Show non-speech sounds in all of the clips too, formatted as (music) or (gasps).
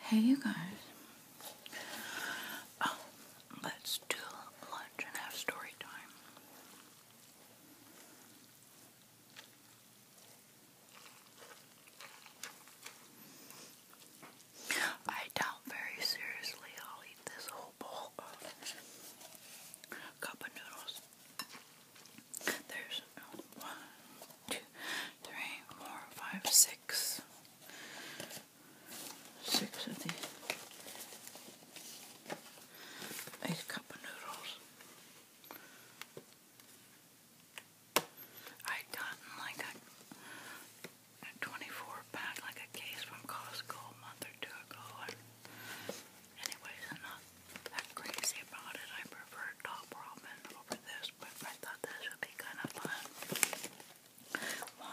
Hey, you guys. Oh, let's do lunch and have story time. I doubt very seriously I'll eat this whole bowl of cup of noodles. There's one, two, three, four, of these. Eight cup of noodles. I'd gotten like a, 24 pack, like a case from Costco a month or two ago. And I'm not that crazy about it. I prefer Top Ramen over this but I thought this would be kind of fun. One,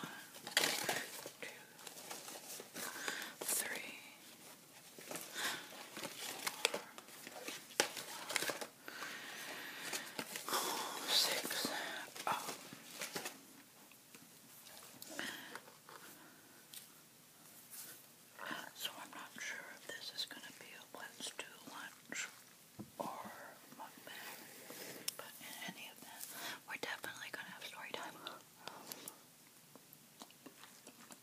two, three, four, six, oh. So I'm not sure if this is going to be a let's do lunch or mukbang, but in any of them, we're definitely gonna have story time.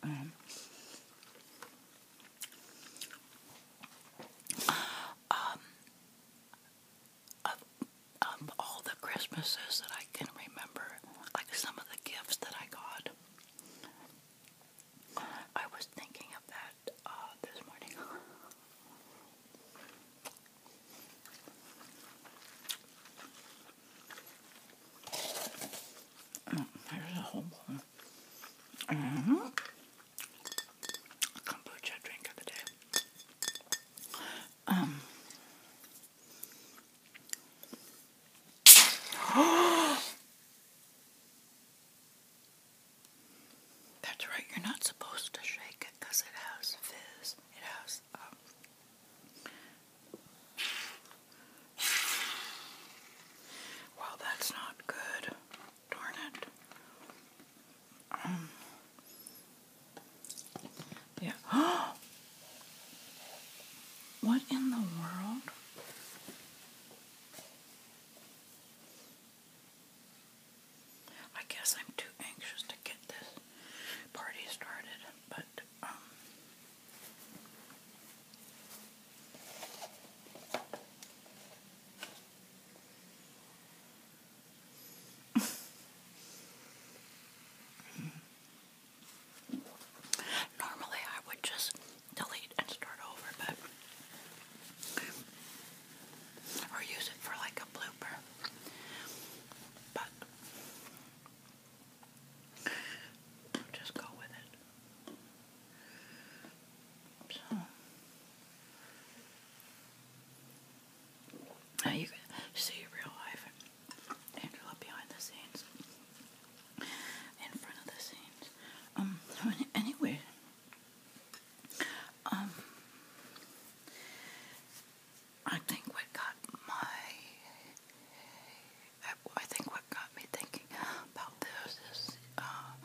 Um, um, of, of all the Christmases that I can remember, like some of the gifts that I got, I was thinking of that this morning. oh, a whole bowl. Mm Kombucha drink of the day. Um. That's right, you're not supposed to shake it because it has fizz. It has, um, well, that's not good. Darn it. Um, yeah. (gasps) what in the world? I guess I'm too anxious to get this party started, but um, (laughs) Normally I would just delete and start over, but or use it for like a blooper. But I'll just go with it. So now you can see real life Angela behind the scenes, in front of the scenes. Um. So (laughs) Um, I think what got my, I think what got me thinking about this is, uh,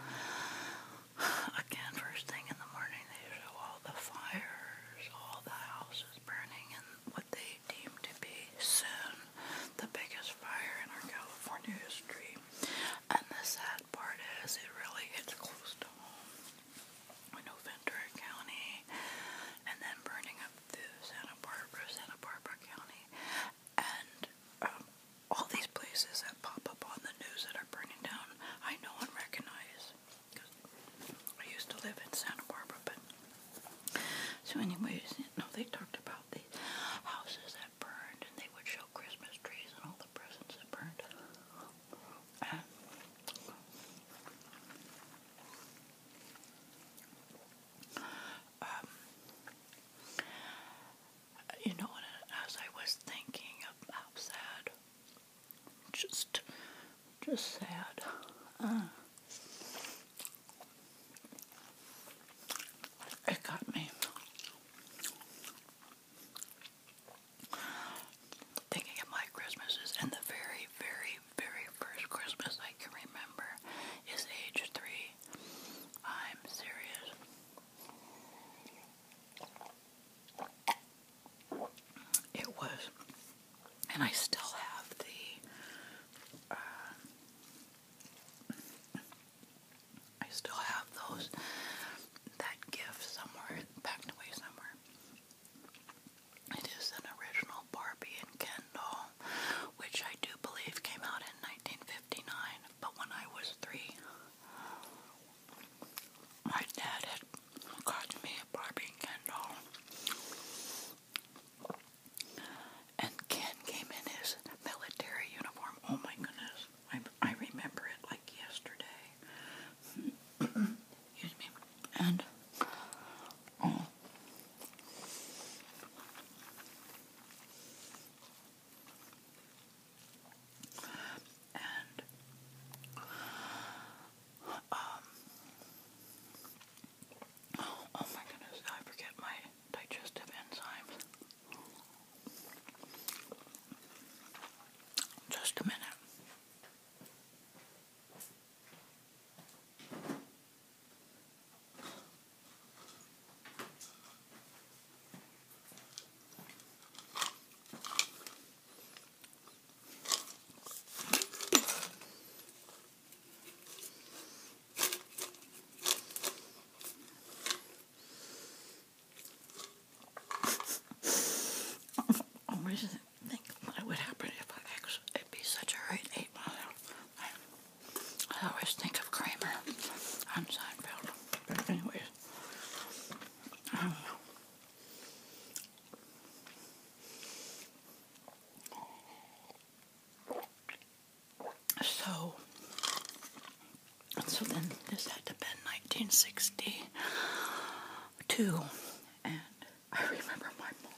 again, first thing in the morning, they show all the fires, all the houses burning, and what they deem to be soon the biggest fire in our California history. And the sad part is, it really hits close to home. I know Ventura County, and then burning up through Santa Barbara, Santa Barbara County, and um, all these places that pop up on the news that are burning down, I know and recognize. I used to live in Santa Barbara, but so, anyways, no, they talked about the houses had burned, and they would show Christmas trees and all the presents had burned. And um, you know, as I was thinking of how sad, just, just sad. Uh, it got me. Thinking of my Christmases, and the very, very, very first Christmas I can remember is age three. I'm serious. It was, and I still have the. Uh, I still have those, that gift somewhere, packed away somewhere. It is an original Barbie and Ken doll, which I do believe came out in 1959, but when I was three, my dad had got me a Barbie and Ken doll. And Ken came in his military uniform. Oh my goodness. I, I remember it like yesterday. (coughs) Excuse me. And oh, and um, oh, my goodness, I forget my digestive enzymes. Just a minute. I always think what would happen if I actually, be such a great 8 mile. I, always think of Kramer on Seinfeld. But anyways, I do So, so then this had to be 1962. And I remember my mom.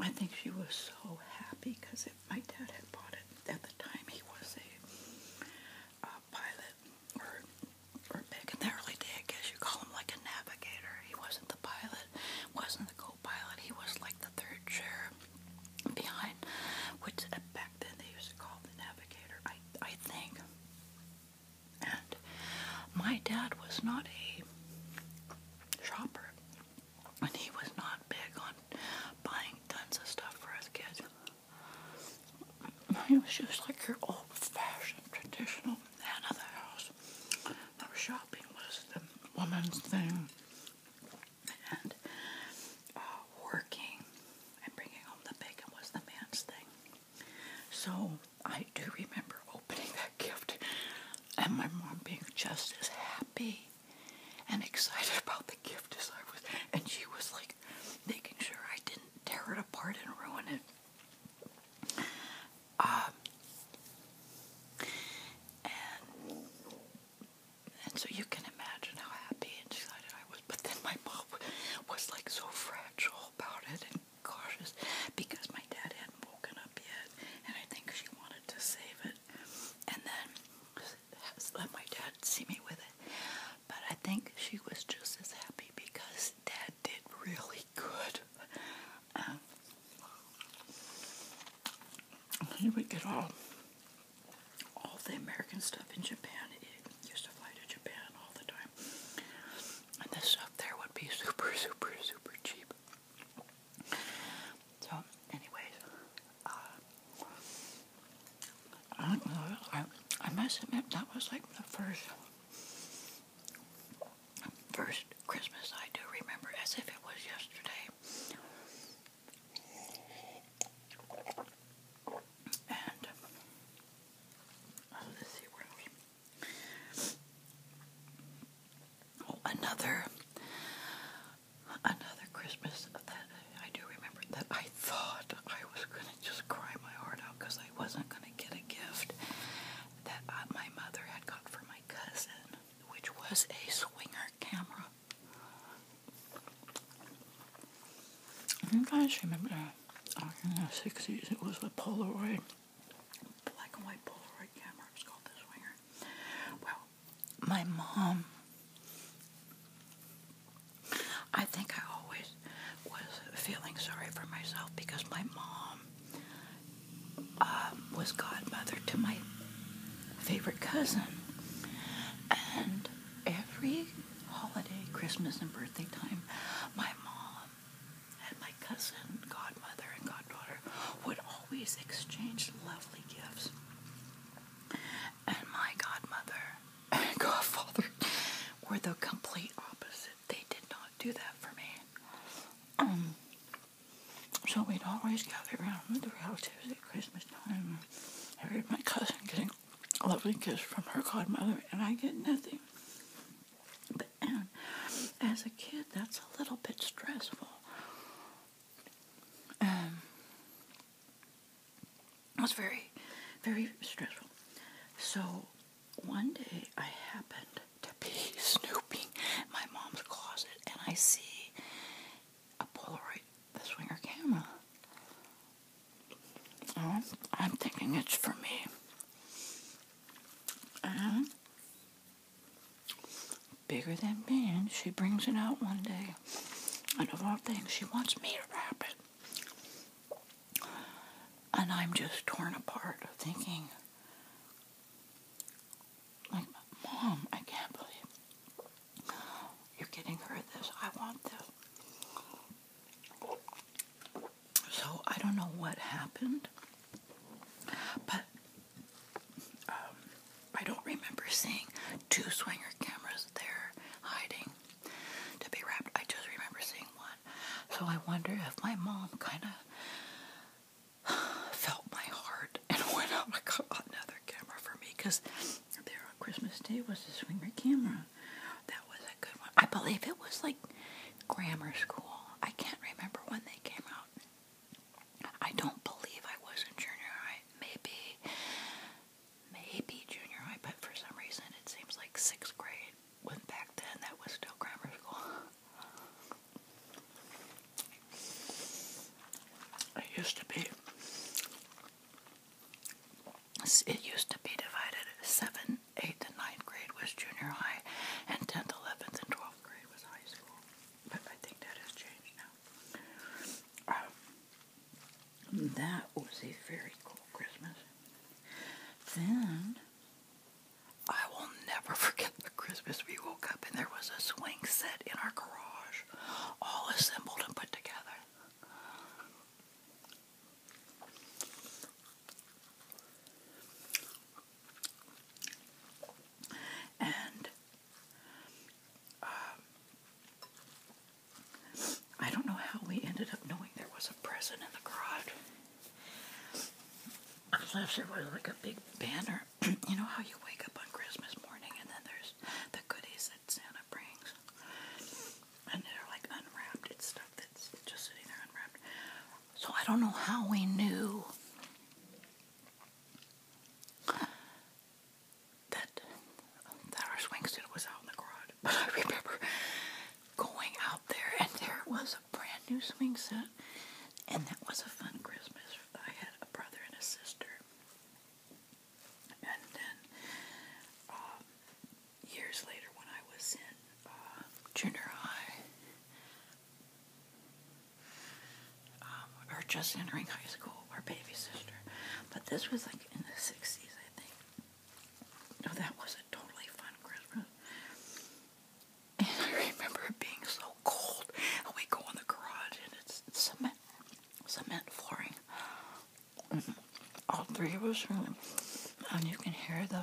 I think she was so happy because my dad had bought it at the time. He was a pilot, or, back in the early days, I guess you call him like a navigator. He wasn't the pilot, wasn't the co-pilot. He was like the third chair behind, which uh, back then they used to call the navigator. I think. And my dad was not a shopper, and he was not big on buying tons of stuff for us kids. He was just like your old-fashioned, traditional man of the house. shopping was the woman's thing, and uh, working i bringing home the bacon was the man's thing. So I do remember opening that gift and my mom being just as happy and excited (laughs) about the gift as I was. And she was like making sure I didn't tear it apart and ruin it. Um, and, so you can imagine how happy and excited I but then my mom was like so fragile about it and cautious because my dad hadn't woken up yet, and I think she wanted to save it, and then let my dad see me with it. But I think she was just as happy because dad did really good. Um, he get all all the American stuff in Japan. It used to fly to Japan all the time. And this stuff there would be super, super, super cheap. So, anyways, uh, I I, I must admit, that was like the first, first Christmas I do remember as if it was yesterday. And oh, let's see Oh, another another Christmas that I do remember that I thought I was gonna just cry my heart out because I wasn't gonna get a gift that uh, my mother had got for my cousin, which was a swinger camera. I think I just remember back in the 60s it was the Polaroid, black and white Polaroid camera, it called the Swinger. Well, my mom, I think I always was feeling sorry for myself because my mom um, was godmother to my favorite cousin. And every holiday, Christmas and birthday time, my mom and my cousin, godmother and goddaughter, would always exchange lovely gifts. And my godmother and (laughs) godfather were the complete opposite. They did not do that for me. Um, so we'd always gather around with the relatives at Christmas time. I heard my cousin getting lovely kiss from her godmother, and I get nothing. But as a kid, that's a little bit stressful. Um, it was very, very stressful. So one day I happened to be (laughs) snooping my mom's closet, and I see a Polaroid, the swinger camera. Oh, I'm thinking it's for me. Uh-huh. bigger than me, she brings it out one day. And of all things, she wants me to wrap it. And I'm just torn apart thinking, like, Mom, I can't believe you're getting her this. I want this. So I don't know what happened, but um, I don't remember seeing two swinger cameras there hiding to be wrapped. I just remember seeing one. So I wonder if my mom kind of felt my heart (laughs) and went out oh and got another camera for me because there on Christmas Day was a swinger camera that was a good one. I believe it was like grammar school. I can't remember when they came out. I don't believe I was in junior high. Maybe, maybe junior high, but for some reason it seems like sixth grade. When back then that was still grammar school. (laughs) It used to be it used to be divided. 7th, 8th, and 9th grade was junior high, and 10th, 11th, and 12th grade was high school. But I think that has changed now. Um, that was a very cool Christmas. Then, I will never (laughs) forget the Christmas we woke up and there was a swing set in our garage, all assembled and put together. And um, I don't know how we ended up knowing there was a present in the garage. Unless there was like a big banner. (clears throat) you know how you wake up on Christmas morning and then there's the goodies that Santa brings. And they're like unwrapped and stuff that's just sitting there unwrapped. So I don't know how we knew that that our set was out in the garage. But I remember going out there and there was a brand new swing set, And that was a fun Christmas. I had a brother and a sister. And then um, years later when I was in uh, junior high um, or just entering high school, our baby sister. But this was like in the 60s, I think. No, that was a totally fun Christmas. And (laughs) I remember it being so cold, and we go in the garage, and it's cement, cement flooring. Mm-hmm. All three of us, and you can hear the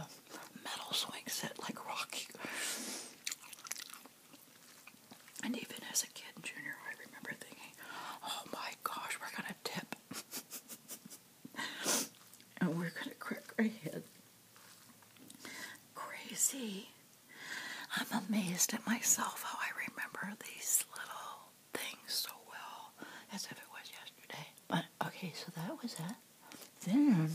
metal swing set like Rocky. And even as a kid, junior, I remember thinking, oh my gosh, we're going to tip. (laughs) and we're going to crack our head. Crazy. I'm amazed at myself how I remember these little things so well, as if it was yesterday. But okay, so that was it. Then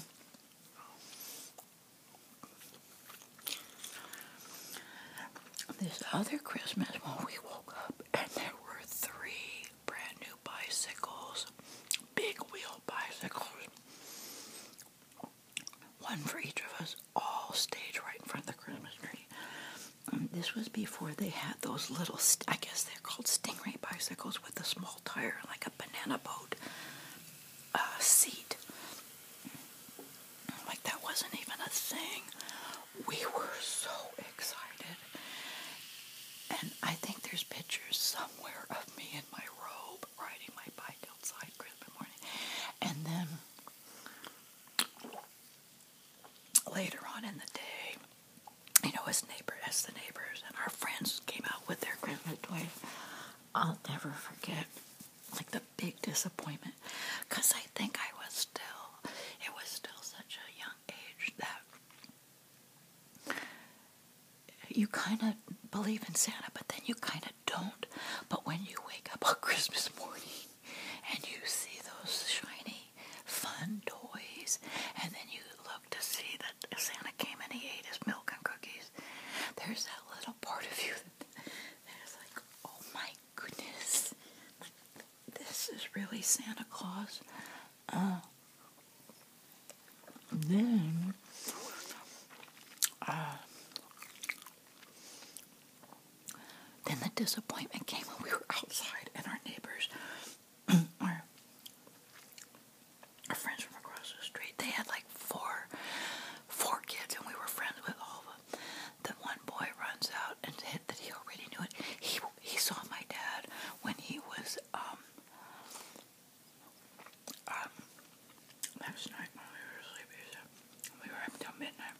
this other Christmas when we woke up and there were three brand new bicycles, big wheel bicycles. One for each of us, all staged right in front of the Christmas tree. Um, this was before they had those little, I guess they're called stingray bicycles with a small tire, like a banana boat uh, seat. Like that wasn't even a thing. We were so excited. And I think there's pictures somewhere of me in my robe riding my bike outside Christmas morning. And then later on in the day, you know, as neighbor as the neighbors and our friends came out with their Christmas toys. I'll never forget like the big disappointment because I think I was still it was still such a young age that you kind of believe in Santa but then you kind of don't but when you wake up on (laughs) Christmas morning and you see those shiny fun toys and then you look to see that Santa came and he ate his milk and cookies, there's that little part of you that, that is like, oh my goodness, this is really Santa Claus. Uh, then, uh, then the disappointment came when we were outside and our neighbors our, friends from across the street, they had like four, four kids, and we were friends with all of them. The one boy runs out and said that he already knew it. He he saw my dad when he was um, um last night when we were sleeping. we were up till midnight.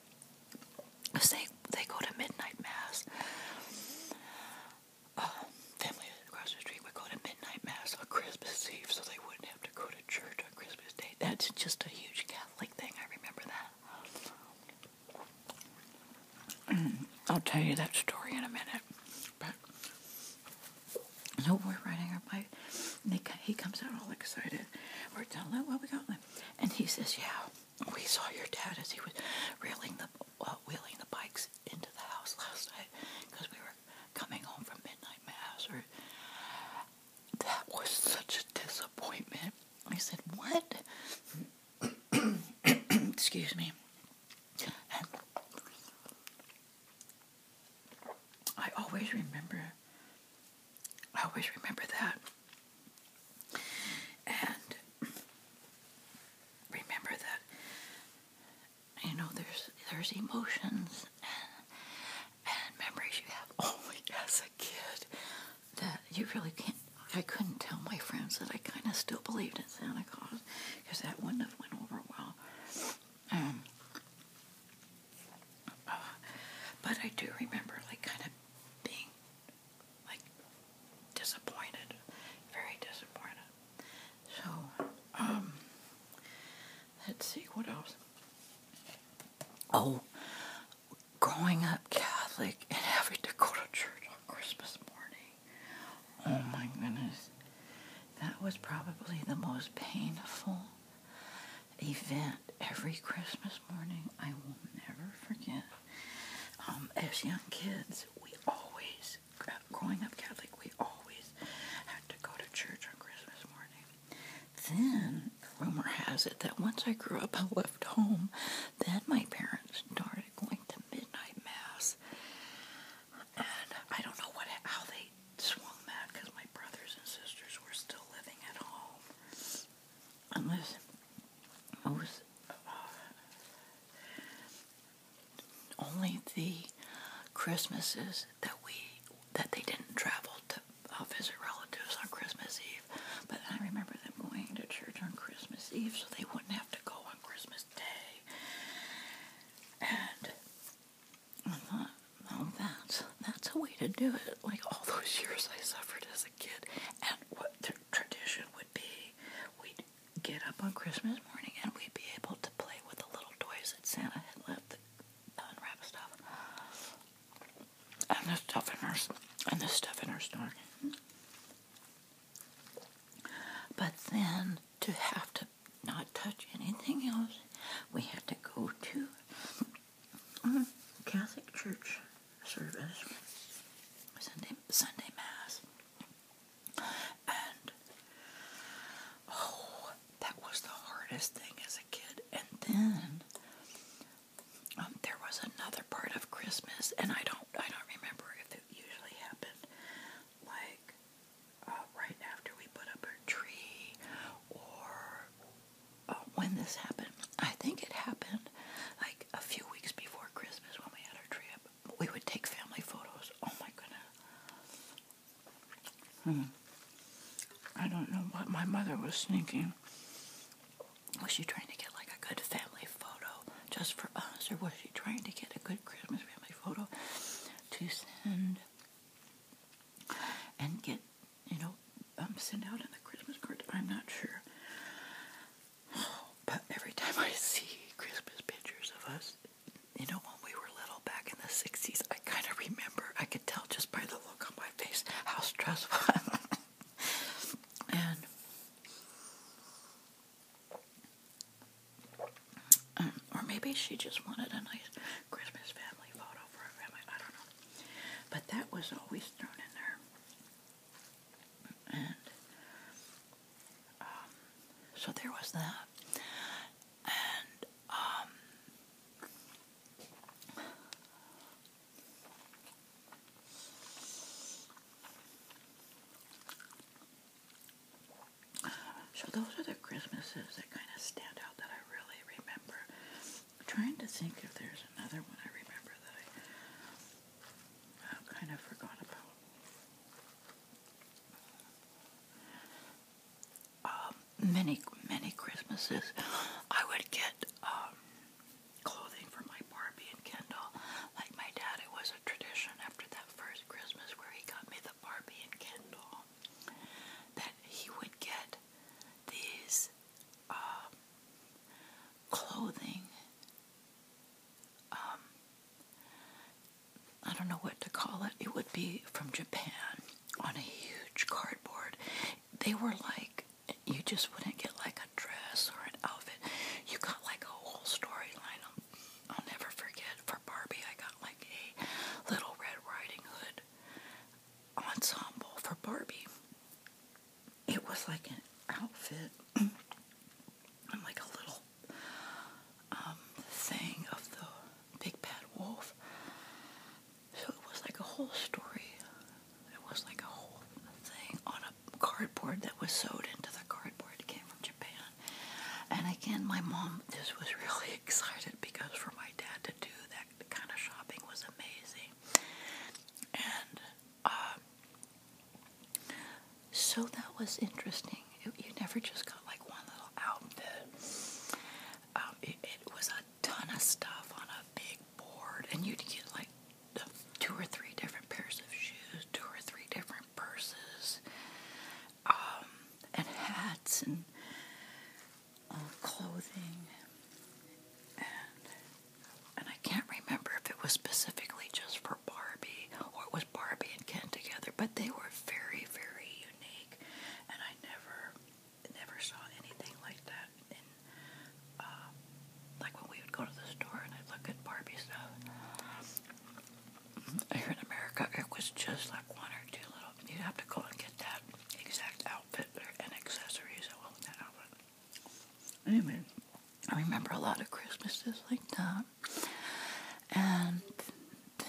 Cause they they go to midnight mass um, family across the street would go to midnight mass on Christmas Eve so they wouldn't have to go to church on Christmas Day. That's just a huge Catholic thing. I remember that. (clears throat) I'll tell you that story in a minute. But so we're riding our bike, and they, he comes out all excited. We're telling him what we got, and he says, "Yeah, we saw your dad as he was reeling the uh, wheeling the bikes into the house last night because we were coming home from midnight mass. Or that was such a disappointment. I said, "What?" (coughs) Excuse me. I always remember. I always remember that. And remember that you know, there's there's emotions and memories you have (laughs) only oh as a kid that you really can't. I couldn't tell my friends that I kind of still believed in Santa Claus because that wouldn't have went over well. Um, uh, but I do remember, like, kind of being like disappointed, very disappointed. So, um, let's see what else. Oh, growing up Catholic and having to go to church on Christmas morning. Oh my goodness. That was probably the most painful event every Christmas morning I will never forget. Um, as young kids, we always always, growing up Catholic, we always had to go to church on Christmas morning. Then, rumor has it that once I grew up and left home, then my parents started going to midnight mass. And I don't know what how they swung that because my brothers and sisters were still living at home. Unless most uh, only the Christmases that we that they didn't travel to uh, visit relatives on Christmas Eve. But I remember them going to church on Christmas Eve, so they wouldn't have to go on Christmas Day. And I thought, oh, that's that's a way to do it. Like all those years I suffered as a kid, and what the tradition would be, we'd get up on Christmas morning and we'd be able to play with the little toys that Santa had left, the stuff, and the stuff in our and the stuff in her stocking. But then to have to not touch anything else, we had to go to um, Catholic Church service Sunday Sunday Mass. And oh, that was the hardest thing as a kid. And then um, there was another part of Christmas, and I don't, I don't remember if it usually happened like uh, right after we put up our tree or uh, when this happened. I think it happened like a few weeks before Christmas when we had our tree we would take family photos. Oh my goodness. Hmm. I don't know what my mother was thinking. Was she trying to get like a good family photo just for us, or was she trying to get a good Christmas family photo to send and get, you know, um, send out in the Christmas cards? I'm not sure. (sighs) But every time I see Christmas pictures of us, you know, when we were little back in the 60s, I kind of remember, I could tell just by the look on my face how stressful. (laughs) and um, or maybe she just wanted a nice Christmas family photo for her family. I don't know. But that was always thrown in there. And um, so there was that. And, um, so those are the Christmases that kind of stand out that I really remember. trying to think if there's another one I remember that I uh, kind of forgot about. Um, many, many Christmases, I would get um, clothing for my Barbie and Kendall. Like my dad, it was a tradition after that first Christmas where he got me the Barbie and Kendall that he would get these um, clothing I don't know what to call it. It would be from Japan on a huge cardboard. They were like, you just wouldn't get like a dress or an outfit. You got like a whole storyline. I'll, never forget. For Barbie, I got like a little Red Riding Hood ensemble for Barbie. It was like an outfit (clears throat) and like a little um, thing of the big bad wolf. So it was like a whole story. It was like a whole thing on a cardboard that was sewed into the cardboard. It came from Japan. And again, my mom, this was (laughs) really excited because for my dad to do that kind of shopping was amazing. And uh, so that was interesting you never just got like one little outfit. Um, it, was a ton of stuff on a big board, and you'd get like two or three different pairs of shoes, two or three different purses, um, and hats and uh, clothing. And, and I can't remember if it was specifically just for Barbie or it was Barbie and Ken together, but they were very, very and I never, never saw anything like that. Uh, like when we would go to the store and I'd look at Barbie stuff. Here in America, it was just like one or two little. You'd have to go and get that exact outfit and accessories that that outfit. Anyway, I remember a lot of Christmases like that. And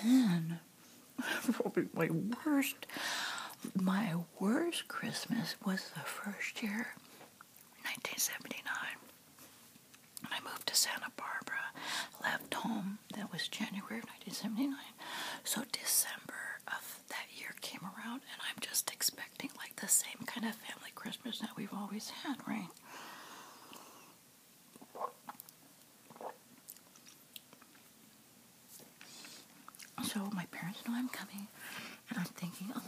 then, (laughs) probably my worst, my worst Christmas was the first year, 1979. I moved to Santa Barbara, left home. That was January of 1979. So December of that year came around, and I'm just expecting like the same kind of family Christmas that we've always had, right? So my parents know I'm coming, and I'm thinking, oh,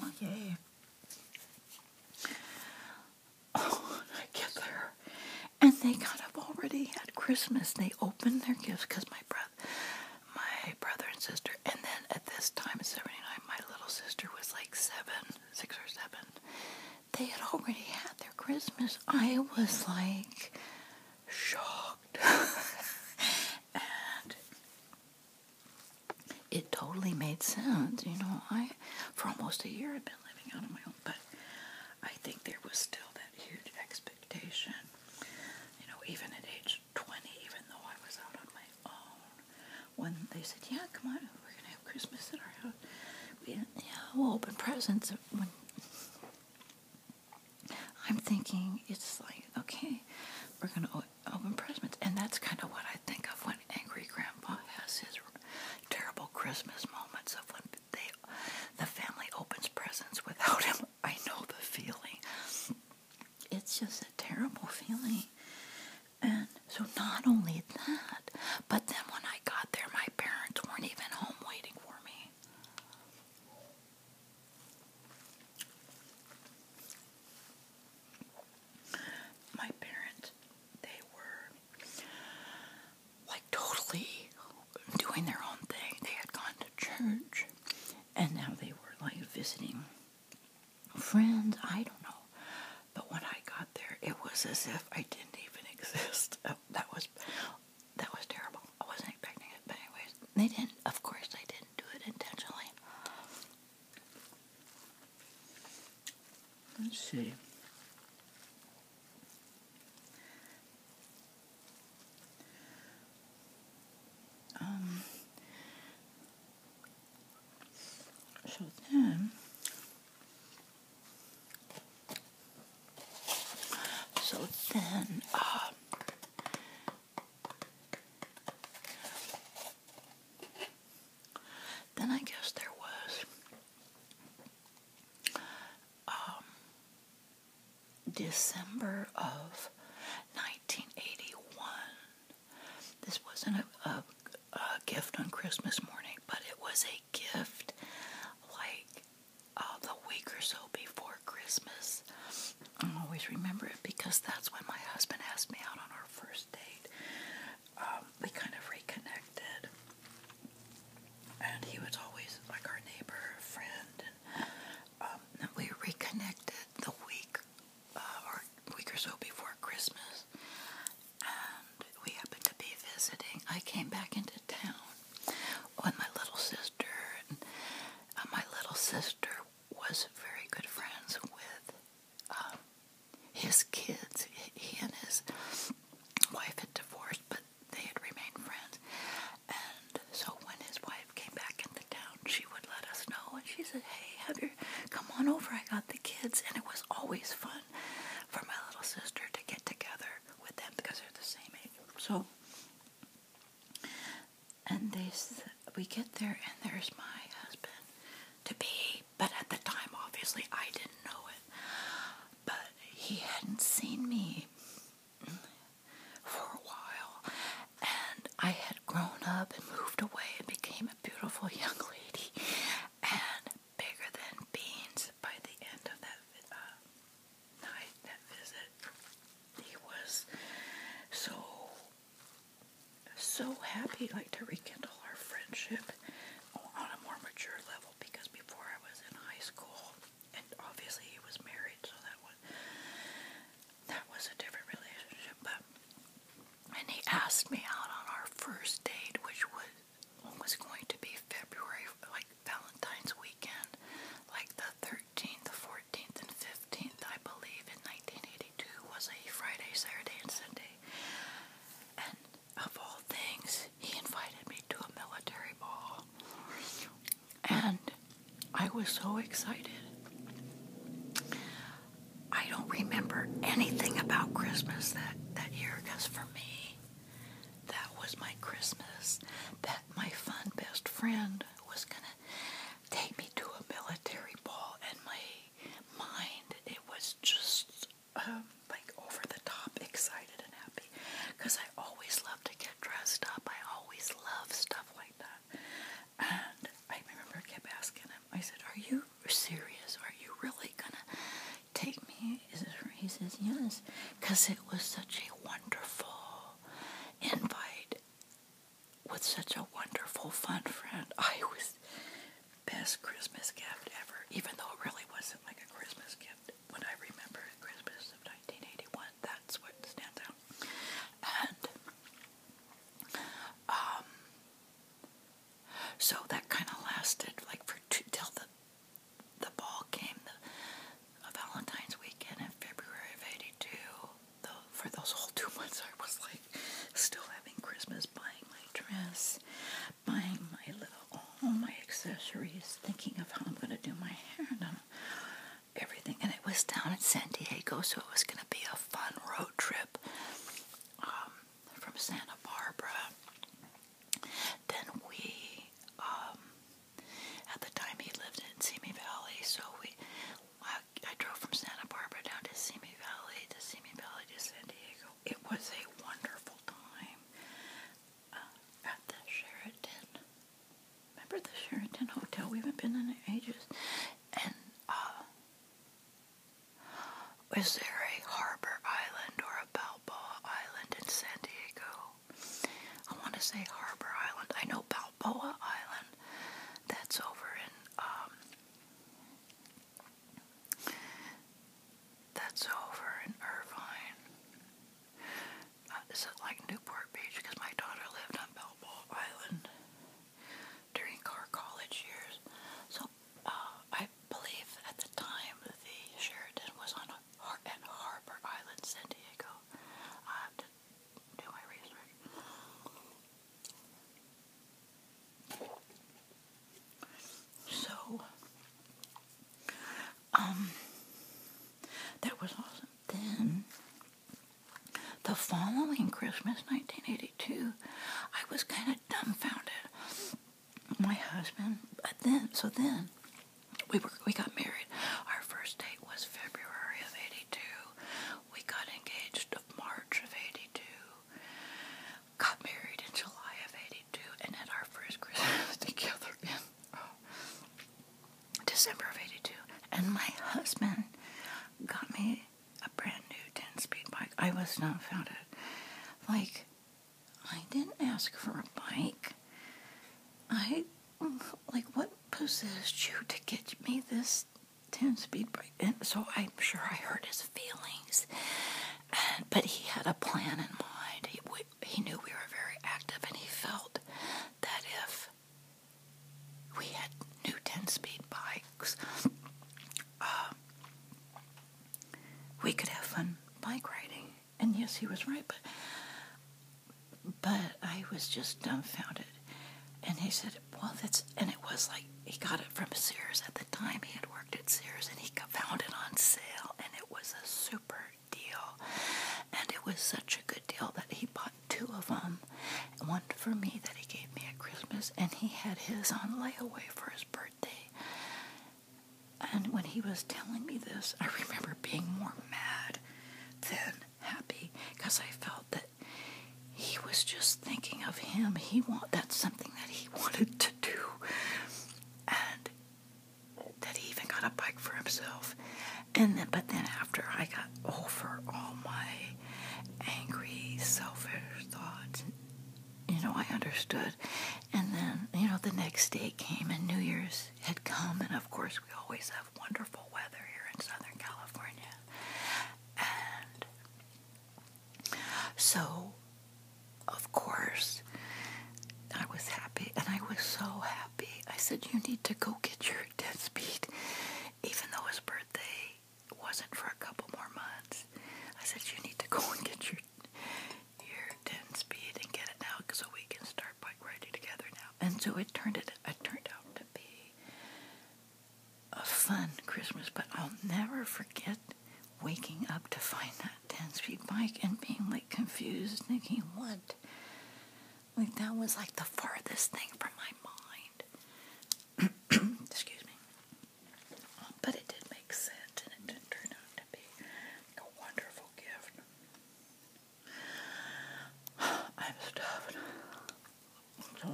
oh, I get there, and they kind of already had Christmas. They opened their gifts because my brother, my brother and sister, and then at this time, 79, my little sister was like seven, six or seven, they had already had their Christmas. I was like shocked. (laughs) and it totally made sense. You know, I, for almost a year, I've been living out on my own, but I think there was still that huge expectation. You know, even at age 20, even though I was out on my own, when they said, Yeah, come on, we're going to have Christmas at our house we, yeah, we'll open presents. When I'm thinking it's like, okay, we're going to open presents. And that's kind of what I think of when Angry Grandpa has his terrible Christmas moments of when they, the family opens presents without him. (laughs) I know the feeling. It's just a terrible feeling. And so not only that, but then when I got there, my parents weren't even home waiting for me. My parents, they were like totally doing their own thing. They had gone to church and now they were like visiting friends. I don't know. But when I got there, it was as if I didn't even (laughs) exist. that was that was terrible. I wasn't expecting it, but anyways, they didn't. Of course, they didn't do it intentionally. Let's see. Um. So then, so then, uh, then I guess there was um, December of 1981. This wasn't a gift on Christmas morning, but it was a gift like uh, the week or so before Christmas. I always remember it because that's when my husband asked me out on our first date. Um, we kind of reconnected, and he was always like our neighbor, friend, and, um, we reconnected the week uh, or week or so before Christmas, and we happened to be visiting. I came back into town Oh, and my little sister. And, uh, my little sister was very good friends with um, his kids. He and his wife had divorced, but they had remained friends. And so when his wife came back into town, she would let us know. And she said, hey, have your, come on over. I got the kids. And it was always fun for my little sister to get together with them because they're the same age. So, and they, we get there, and there's my husband to be, but at the time, obviously, I didn't know it. But he hadn't seen me for a while, and I had grown up and moved away and became a beautiful young (laughs) lady and bigger than beans by the end of that uh, night, that visit, he was so so happy, like to rekindle our friendship on a more mature level. Because before I was in high school, and obviously he was married, so that was that was a different relationship. But and he asked me out on our first date, which was was going to be February, like Valentine's weekend, like the 13th, 14th, and 15th, I believe, in 1982 was a Friday, Saturday, and Sunday. And of all things, he invited me to a military ball. And I was so excited. I don't remember anything about Christmas that, that year because for me, that was my Christmas. That my fun best friend was gonna take me to a military ball, and my mind it was just um, like over the top, excited and happy, because I always love to get dressed up. I always love stuff like that, and I remember I kept asking him. I said, "Are you serious? Are you really gonna take me he says, yes, because it was such a wonderful invite with such a wonderful, fun friend. I was best Christmas gift ever, even though it really wasn't like a Christmas gift. When I remember Christmas of 1981, that's what stands out. And, um, so that kind of lasted like for two, till the the ball game, the Valentine's weekend in February of '82. For those whole two months, I was like still having Christmas, buying my dress, buying my little all my accessories, thinking of how I'm going to do my hair and um, everything. And it was down in San Diego, so it was going to be a fun road trip um, from Santa Barbara. Then we um, at the time, he lived in Simi Valley, so we, I, drove from Santa Barbara down to Simi Valley, to Simi Valley, to San Diego. It was a wonderful time uh, at the Sheraton. Remember the Sheraton Hotel? We haven't been in ages. And uh, is there a Harbor Island or a Balboa Island in San Diego? I want to say Harbor Island. I know Balboa Island. That's over in, um, that's over in Irvine. Uh, is it like Newport Beach? Because my daughter lived on Balboa Island during our college years. So, uh, I believe at the time the Sheridan was on at Harbor Island, San Diego. I have to do my research. So, um, that was awesome. Then, the following Christmas, 1982, I was kind of dumbfounded. My husband, but then, so then, we were we got married. Our first date was February of '82. We got engaged of March of '82. Got married in July of '82, and had our first Christmas (laughs) together in uh, December of '82. And my husband got me a brand new 10-speed bike. I was not found dumbfounded. Like I didn't ask for a bike. I like what possessed you to get me this 10 speed bike? and so i'm sure i hurt his feelings but he had a plan in mind he, he knew we were very active and he felt that if we had new 10 speed bikes uh, we could have fun bike riding and yes, he was right, but but I was just dumbfounded. And he said, "Well, that's," and it was like he got it from Sears at the time. He had worked at Sears, and he found it on sale, and it was a super deal. And it was such a good deal that he bought two of them, one for me that he gave me at Christmas, and he had his on layaway for his birthday. And when he was telling me this, I remember being more mad than happy because I felt that he was just thinking of him. He want that's something that he wanted to do, and that he even got a bike for himself. And then, but then after I got over all my angry, selfish thoughts, you know, I understood. And then, you know, the next day came and New Year's had come, and of course, we always have wonderful weather here in Southern California. And so, of course, I was happy, and I was so happy. I said, You need to go get your (laughs) ten speed, even though his birthday wasn't for a couple more months. I said, You need to go (laughs) and get your your 10 speed and get it now so we can start bike riding together and so it turned it, it turned out to be a fun Christmas, but I'll never forget waking up to find that 10 speed bike and being like confused, thinking, what? Like that was like the farthest thing from my mind. (clears throat) Excuse me. But it did make sense and it did out to be a wonderful gift. I'm stuffed. So,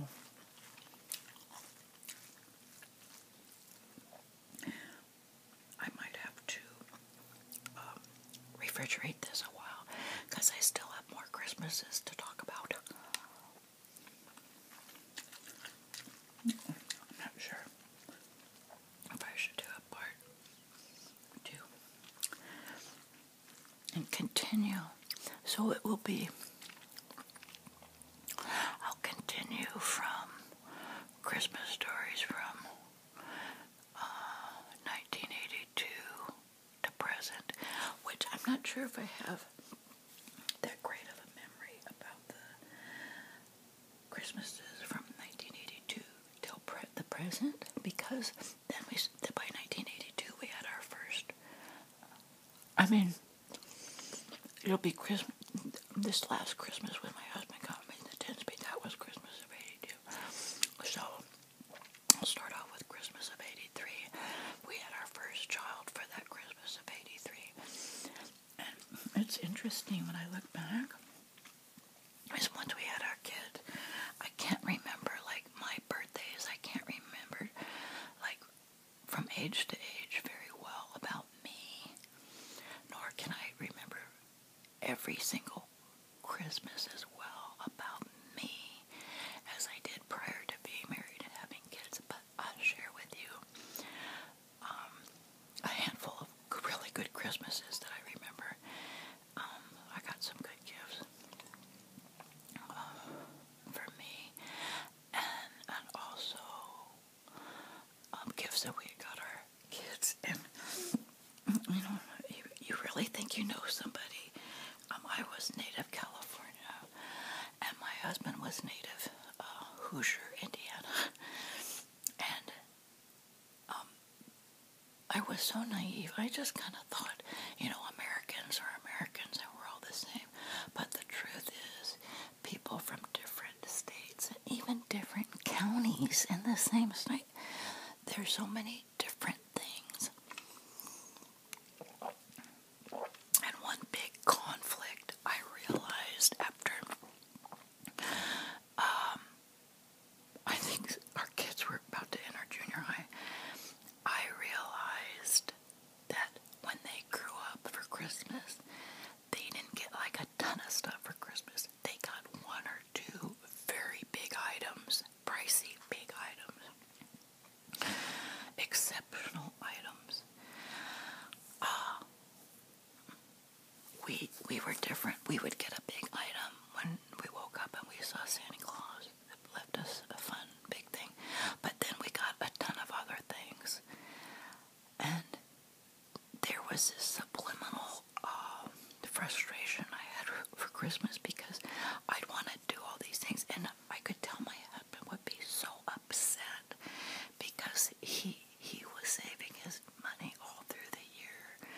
I might have to um, refrigerate this a while because I still have more Christmases to talk about. I'm not sure if I should do a part two and continue. So it will be, I'll continue from Christmas stories from 1982 uh, to present, which I'm not sure if I have that great of a memory about the Christmases from 1982 till the present because then we then by 1982 we had our first. I mean, it'll be Christmas. This last Christmas when my husband got me the ten speed, that was Christmas of '82. So I'll start off with Christmas of '83. We had our first child for that Christmas of '83, and it's interesting when I look back was once we had our kid. I can't remember like my birthdays. I can't remember like from age to age very well about me. Nor can I remember every single Christmas as well about me as I did prior to being married and having kids. But I'll share with you um, a handful of really good Christmases that I remember um, I got some good gifts um, for me, and and also um, gifts that we got our kids. (laughs) And you know, you, you really think you know somebody. Um, I was native California, and my husband was native uh, Hoosier, Indiana, (laughs) and um, I was so naive. I just kind of thought, you know, Americans are Americans and we're all the same. But the truth is, people from different states and even different counties in the same state, there's so many different things. And one big conflict I realized after um, I think our kids were about to enter junior high, I realized that when they grew up for Christmas, they didn't get like a ton of stuff for Christmas. They got one or two very big items, pricey big items, exceptional items. Uh, we we were different. We would get a big item when we woke up and we saw Santa Claus left us a fun big thing. But then we got a ton of other things. And there was this subliminal um, frustration I had for Christmas because I'd want to do all these things, and I could tell my husband would be so upset because he he was saving his money all through the year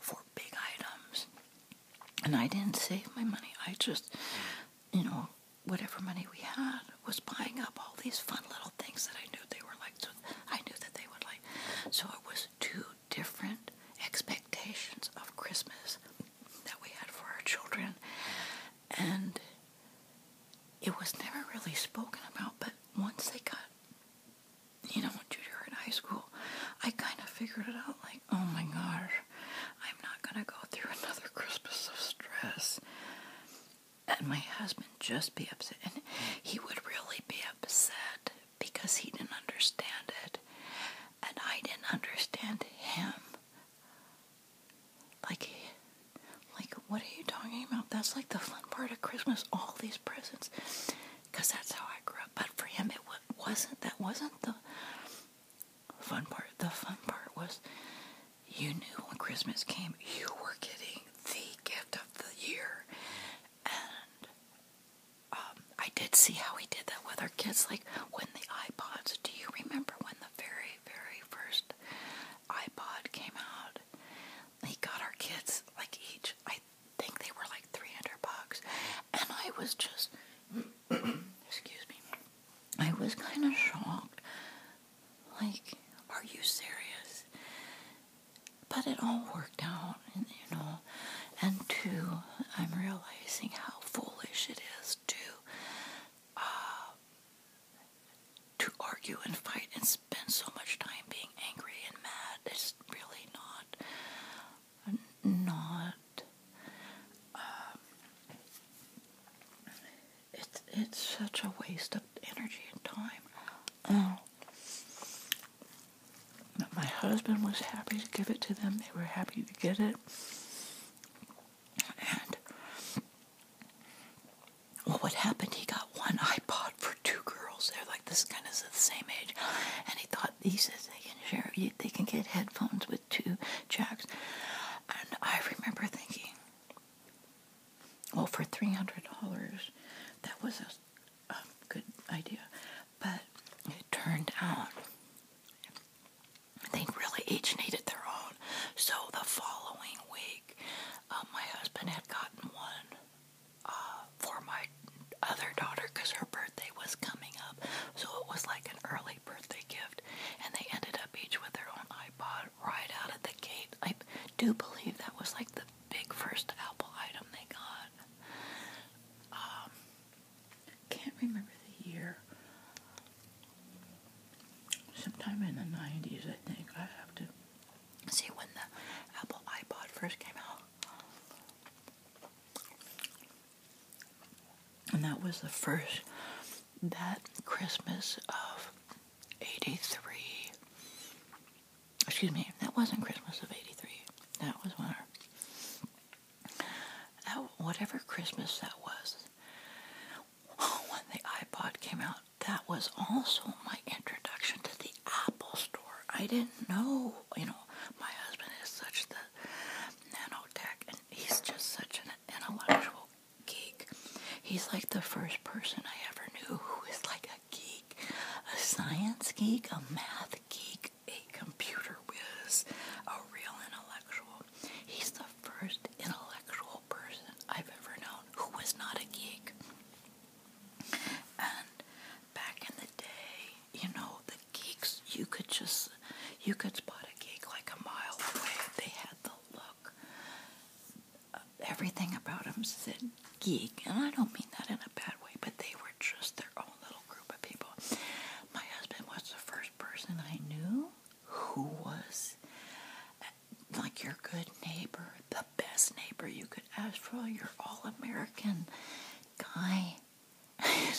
for big items. And I didn't save my money. I just, you know, whatever money we had was buying up all these fun little things that I knew they were like. So I knew that they would like. So it was two different expectations of Christmas that we had for our children. And it was never really spoken about, but once they got, you know, junior in high school, I kind of figured it out like, oh my gosh, I'm not going to go through (laughs) another Christmas of stress. And my husband just be upset. And he would really be upset because he didn't understand it. And I didn't understand him. Like, like, what are you talking about? That's like the fun part of Christmas, all these presents because that's how I grew up. But for him, it wasn't. That wasn't the fun part. The fun part was you knew when Christmas came, you were getting the gift of the year. And um, I did see how he did that with our kids. Like when the iPods, do you remember when the very, very first iPod came out? He got our kids like each. I think they were like 300 bucks and I was just, (clears throat) excuse me, I was kind of shocked. Like, are you serious? But it all worked out, and, you know. And two, I'm realizing how foolish it is to uh, to argue and fight and spend so much time being angry and mad. It's really not not. Um, it's it's such a waste of energy and time. Oh. My husband was happy to give it to them. They were happy to get it. And well, what happened? He got one iPod for two girls. They're like this kind of the same age, and he thought he says they can share, they can get headphones with two jacks. And I remember thinking, well, for $300, that was a, good idea. But it turned out they really each needed their own. So the following week, uh, my husband had gotten one uh, for my other daughter because her birthday was coming up so it was like an early birthday gift, and they ended up each with their own iPod right out at the gate. I do believe that was like the big first Apple item they got. Um, can't remember the year. Sometime in the 90s, I think. I have to see when the Apple iPod first came out. And that was the first, that Christmas of 83. Excuse me, that wasn't Christmas of 83. That was when that, whatever Christmas that was, (laughs) when the iPod came out, that was also my introduction to the Apple Store. I didn't know, you know, my husband is such the nanotech he's just such an intellectual geek. He's like the first person I ever knew who is like a geek, a science geek, a math geek, a computer whiz, a real intellectual. He's the first intellectual person I've ever known who was not a geek. And back in the day, you know, the geeks, you could just, you could spot a geek like a mile away. They had the look. Uh, everything about them said geek, and I don't mean that in a bad way, but they were just their own little group of people. My husband was the first person I knew who was uh, like your good neighbor, the best neighbor you could ask for, your all American guy (sighs) and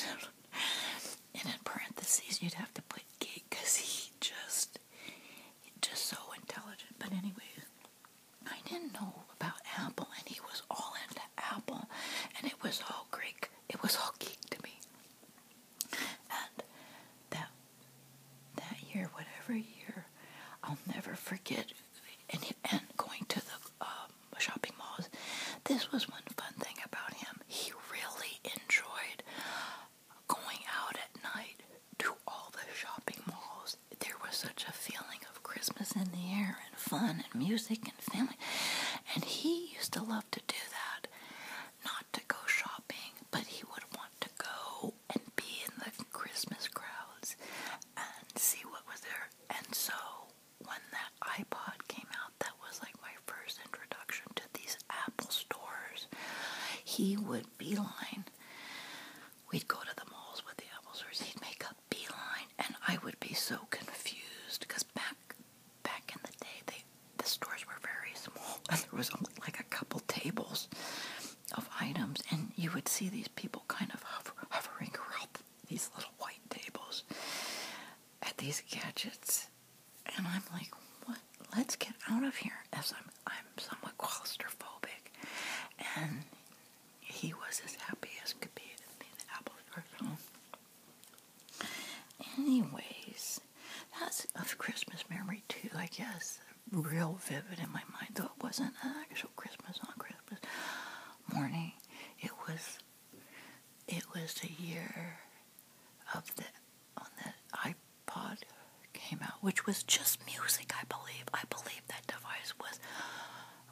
in parentheses, you'd have to put gig because he just, just so intelligent. But anyway, I didn't know about Apple, and he was all into Apple, and it was all Greek. It was all geek to me. And that that year, whatever year, I'll never forget. And, and going to the uh, shopping malls. This was one fun thing about him. He really enjoyed going out at night to all the shopping malls. There was such a feeling of Christmas in the air and fun and music and family. And he used to love to do that. Not to go shopping, but he would want to go and be in the Christmas crowds and see what was there. And so when that iPod came out, that was like my first introduction to these Apple stores. He would beeline. We'd go to the malls with the Apple stores. He'd make a beeline, and I would be so confused because back back in the day, they the stores were very small, and there was only like a couple tables of items, and you would see these people kind of hovering around these little white tables at these gadgets and I'm like, what? Let's get out of here. As I'm, I'm somewhat claustrophobic, and he was as happy as could be in the apple garden. Anyways, that's a Christmas memory too, I guess. Real vivid in my mind, though it wasn't an actual Christmas on Christmas morning. It was, it was the year of the on the iPod came out, which was just music, I believe. I believe that device was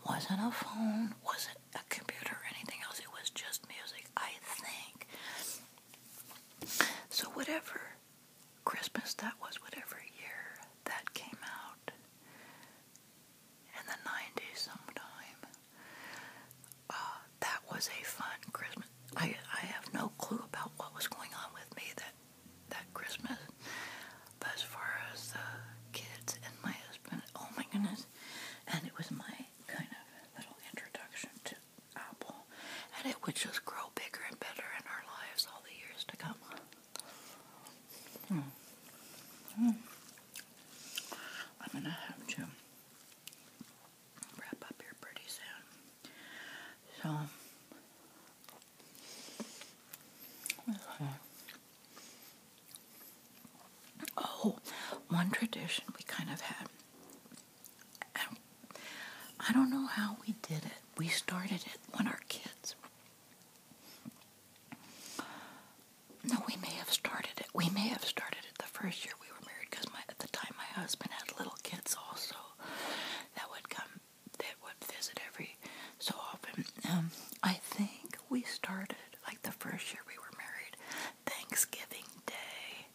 wasn't a phone, wasn't a computer or anything else. It was just music, I think. So whatever Christmas that was, whatever year that came out in the 90s sometime, uh, that was a fun Christmas. I, I have no clue about what was going on with me that, that Christmas. But as far as the kids and my husband, oh my goodness. And it was my kind of little introduction to Apple. And it would just grow bigger and better in our lives all the years to come. Hmm. Hmm. I'm gonna have to wrap up here pretty soon. So, Oh, one tradition we kind of had. I don't know how we did it. We started it when our kids. No, we may have started it. We may have started it the first year we were married because at the time my husband had little kids also that would come that would visit every so often. Um, I think we started like the first year we were married. Thanksgiving Day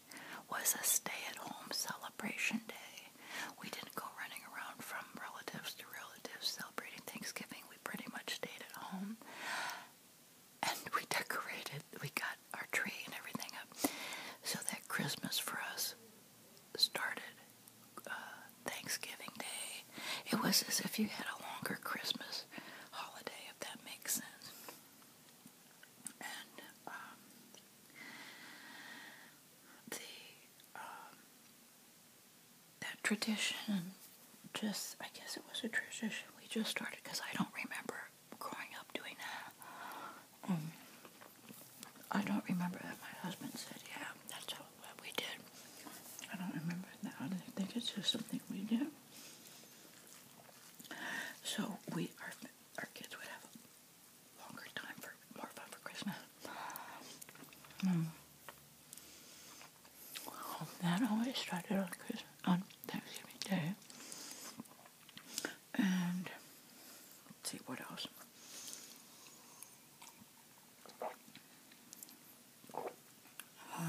was a stay-at-home celebration day. We didn't go running around from relatives to relatives celebrating Thanksgiving. We pretty much stayed at home and we decorated. We got our tree and everything up, so that Christmas for us started uh, Thanksgiving Day. It was as if you had a longer Christmas holiday, if that makes sense. And um, um, that tradition, just I guess it was a tradition we just started because I don't remember growing up doing that. Um, I don't remember that my husband said, yeah, that's all, what we did. I don't remember that. I think it's just something we do. So we, our, our kids would have longer time for, more fun for Christmas. Um, that always started on Christmas, on Thanksgiving Day. And let's see what else. oh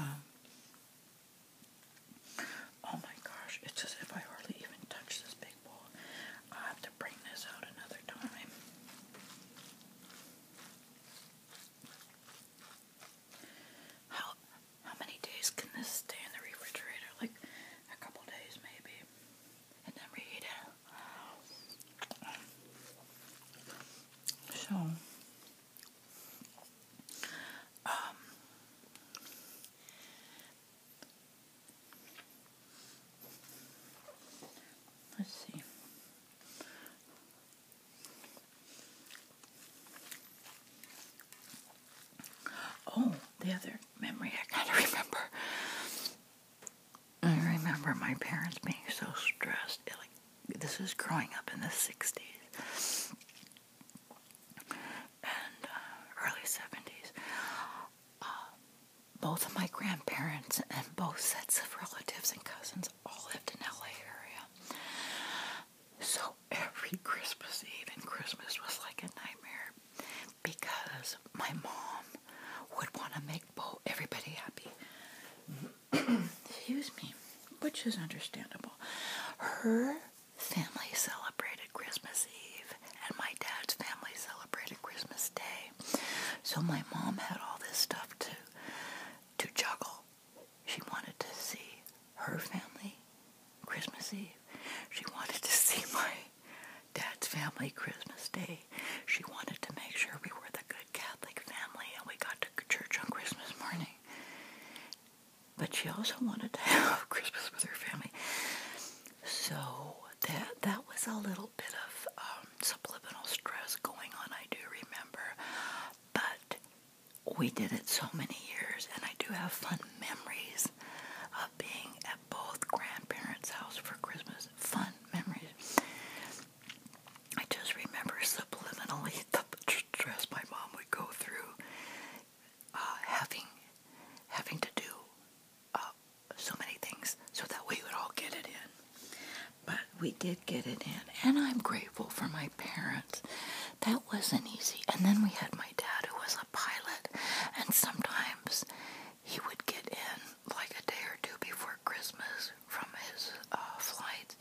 my gosh, it's as if I hardly even touched this big bowl. i have to bring this out another time. How many days can this stay in the refrigerator? Like a couple days maybe. And then we eat it. So um, Let's see. Oh, the other memory I kind of remember. I remember my parents being so stressed. Like this is growing up in the '60s and uh, early '70s. Uh, both of my grandparents and both sets of relatives and cousins all lived in LA area. So every Christmas Eve and Christmas was like a nightmare because my mom would want to make both everybody happy. (clears throat) Excuse me, which is understandable. Her family celebrated Christmas Eve and my dad's family celebrated Christmas Day. So my mom had all this stuff to to juggle. She wanted to see her family Christmas Eve. She wanted to see my dad's family Christmas Day. She wanted to make sure we were the good Catholic family and we got to church on Christmas morning. But she also wanted to (laughs) have Christmas with her family. So that that was a little bit of um, subliminal stress going on, I do remember. But we did it so many years and I do have fun memories of being at both grandparents' house for Christmas. Fun memories. I just remember subliminally (laughs) the stress my mom would go through uh, having having to do uh, so many things so that we would all get it in. But we did get it in, and I'm grateful for my parents. That wasn't easy. And then we had my dad, who was pilot, and sometimes he would get in like a day or two before Christmas from his uh, flights.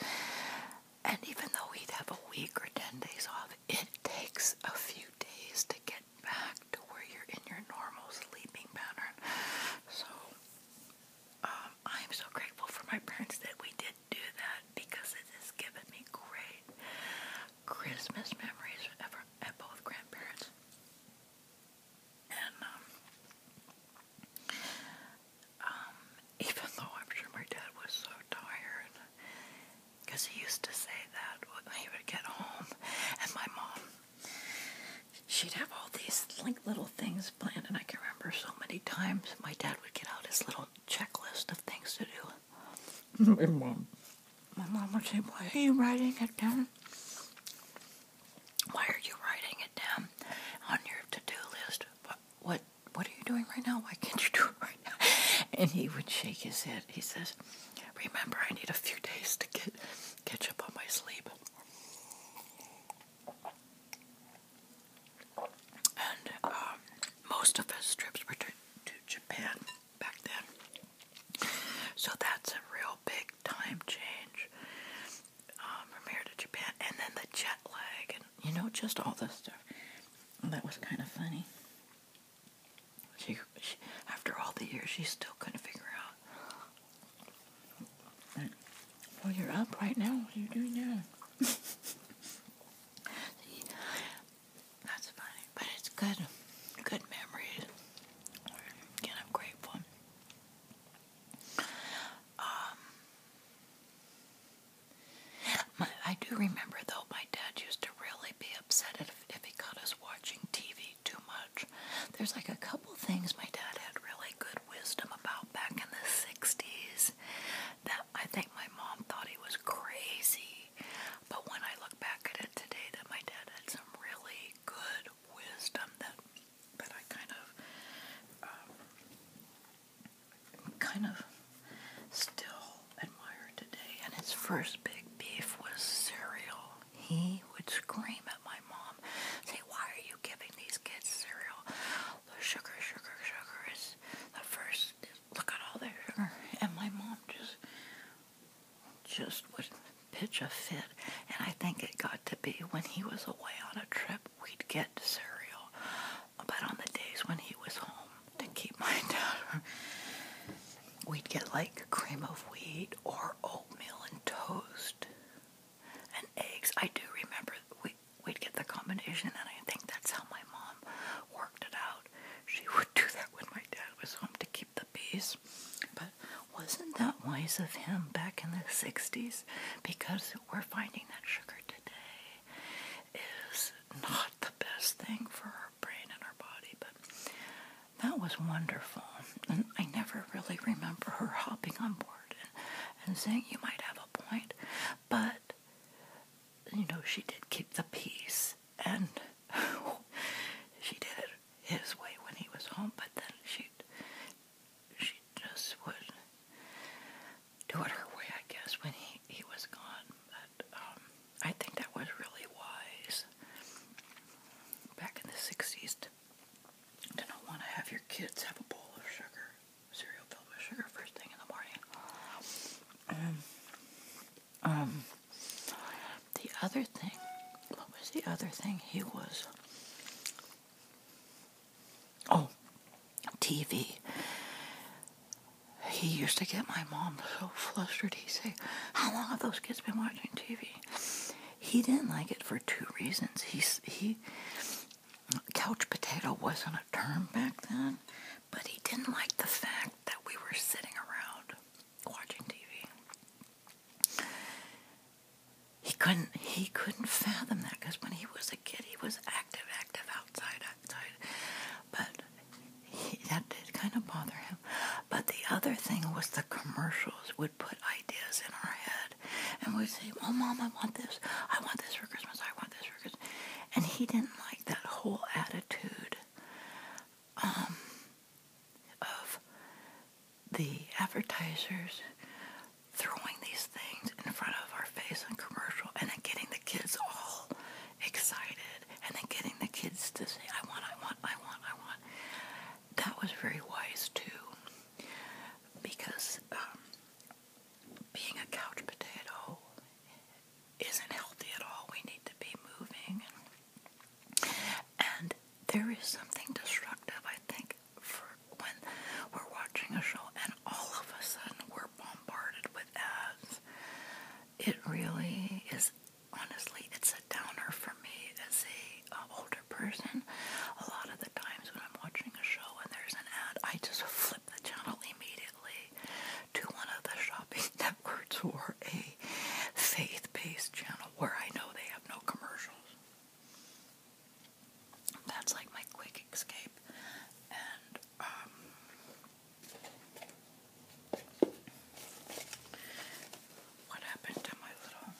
And even though he'd have a week or 10 days off, it takes a few days to get back to where you're in your normal sleeping pattern. So, um, I'm so grateful for my parents that we did do that because it has given me great Christmas memories ever at both grandparents. And um, um, even though I'm sure my dad was so tired, because he used to say that when he would get home, and my mom, she'd have all these like little things planned, and I can remember so many times my dad would get out his little checklist of things to do, my mom. My mom would say, "Boy, are you writing it down? Why are you writing it down on your to do list? What, what what are you doing right now? Why can't you do it right now? And he would shake his head. He says, Remember I need a few days to get catch up on my sleep. And um, most of his trips were to Japan back then. So that's a real big time change um, from here to Japan. And then the jet lag, and you know, just all this stuff. that was kind of funny. She, after all the years, she's still kind of figure out. well, you're up right now. What are you doing now? (laughs) That's funny, but it's good, good memories, and I'm grateful. Um, I do remember though, my dad used to really be upset if, if he caught us watching TV too much. There's like a couple things my dad had really good wisdom about back in the 60s that I think my mom thought he was crazy. But when I look back at it today, that my dad had some really good wisdom that that I kind of um, kind of still admire today. And his first big beef was cereal. He would scream at my mom, say, "Why are you giving these kids cereal? The sugar, sugar, sugar is the first is look at all their sugar. And my mom just, just would pitch a fit. And I think it got to be when he was away on a trip, we'd get cereal. But on the days when he was home, to keep my (laughs) dad, we'd get like cream of wheat or oatmeal and toast and eggs. I do remember we, we'd get the combination, and I think that's how my mom worked it out out. She would do that when my dad was home to keep the peace. But wasn't that wise of him back in the 60s? Because we're finding that sugar today is not the best thing for our brain and our body. But that was wonderful. And I never really remember her hopping on board and, and saying, You might have a point. But, you know, she did keep the peace and (laughs) she did it his way when he was home, but then she she just would do it her way, I guess, when he, he was gone. But um, I think that was really wise back in the 60s to, not want to have your kids have a bowl of sugar, cereal filled with sugar first thing in the morning. Um, um, the other thing, what was the other thing? He was, oh, TV. He used to get my mom so flustered. He'd say, How long have those kids been watching TV? He didn't like it for two reasons. He, he, couch potato wasn't a term back then, but he didn't like the fact that we were sitting around watching TV. He couldn't he couldn't fathom that because when he was a kid he was active, active outside, outside. But that did kind of bother him. But the other thing was the commercials would put ideas in our head, and we'd say, "Oh, mom, I want this. I want this for Christmas. I want this for Christmas." And he didn't like that whole attitude um, of the advertisers throwing these things in front of our face in commercial and then getting the kids all excited and then getting the kids to say, I want, I want, I want, I want. That was very wise too because um, being a couch potato isn't healthy at all. We need to be moving and there is something destructive, I think, for when we're watching a show and all of a sudden we're bombarded with ads. It really is, honestly, it's a downer for me as a older person. A lot of the times when I'm watching a show and there's an ad, I just (laughs) flip the channel immediately to one of the shopping networks who are a faith based channel where I know they have no commercials. That's like my quick escape. Um, what happened to my little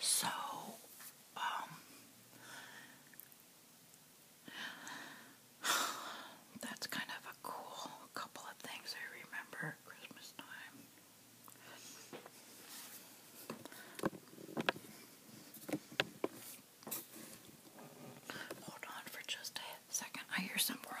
so, um, that's kind of a cool couple of things I remember Christmas time. Hold on for just a second. I hear some grumbling.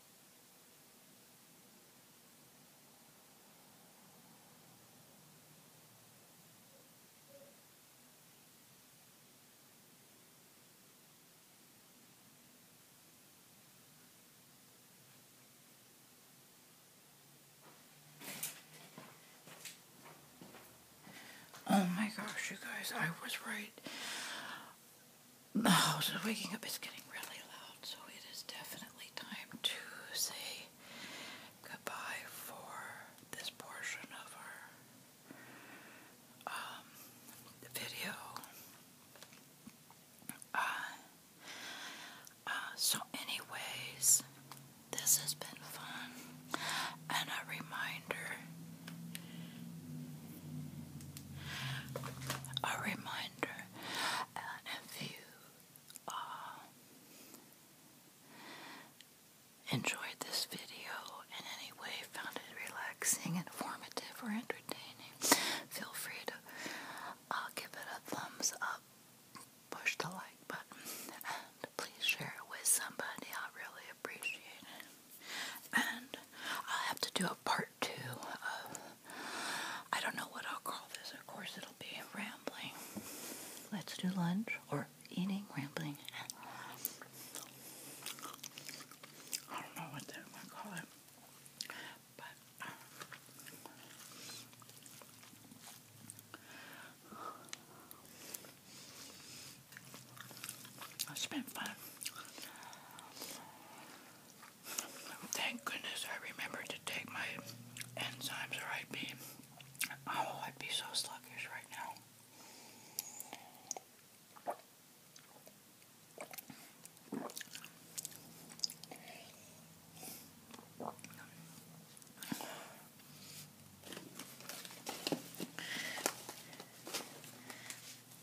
Oh my gosh, you guys, I was right. Oh, so waking up is getting really loud, so it is definitely time to say goodbye for this portion of our um, video. Uh, uh, so, anyways, this has been fun, and a reminder a reminder, if you uh, enjoyed this video in any way, found it relaxing, informative, or entertaining, feel free to uh, give it a thumbs up, push the like button, and please share it with somebody. I really appreciate it. And i have to do a part part of, I don't know what I'll call this. Of course, it'll be rambling. Let's do lunch or eating, rambling. I don't know what I'm going to call it. But, uh, it's been fun. Thank goodness I remembered to take my enzymes or I'd be, oh, I'd be so sluggish right now.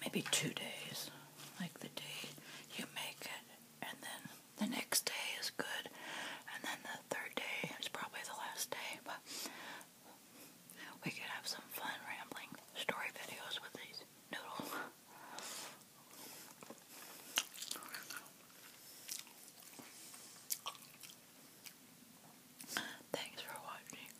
maybe two days. Like the day you make it, and then the next day is good, and then the third day is probably the last day. But we could have some fun rambling story videos with these noodles. (laughs) Thanks for watching.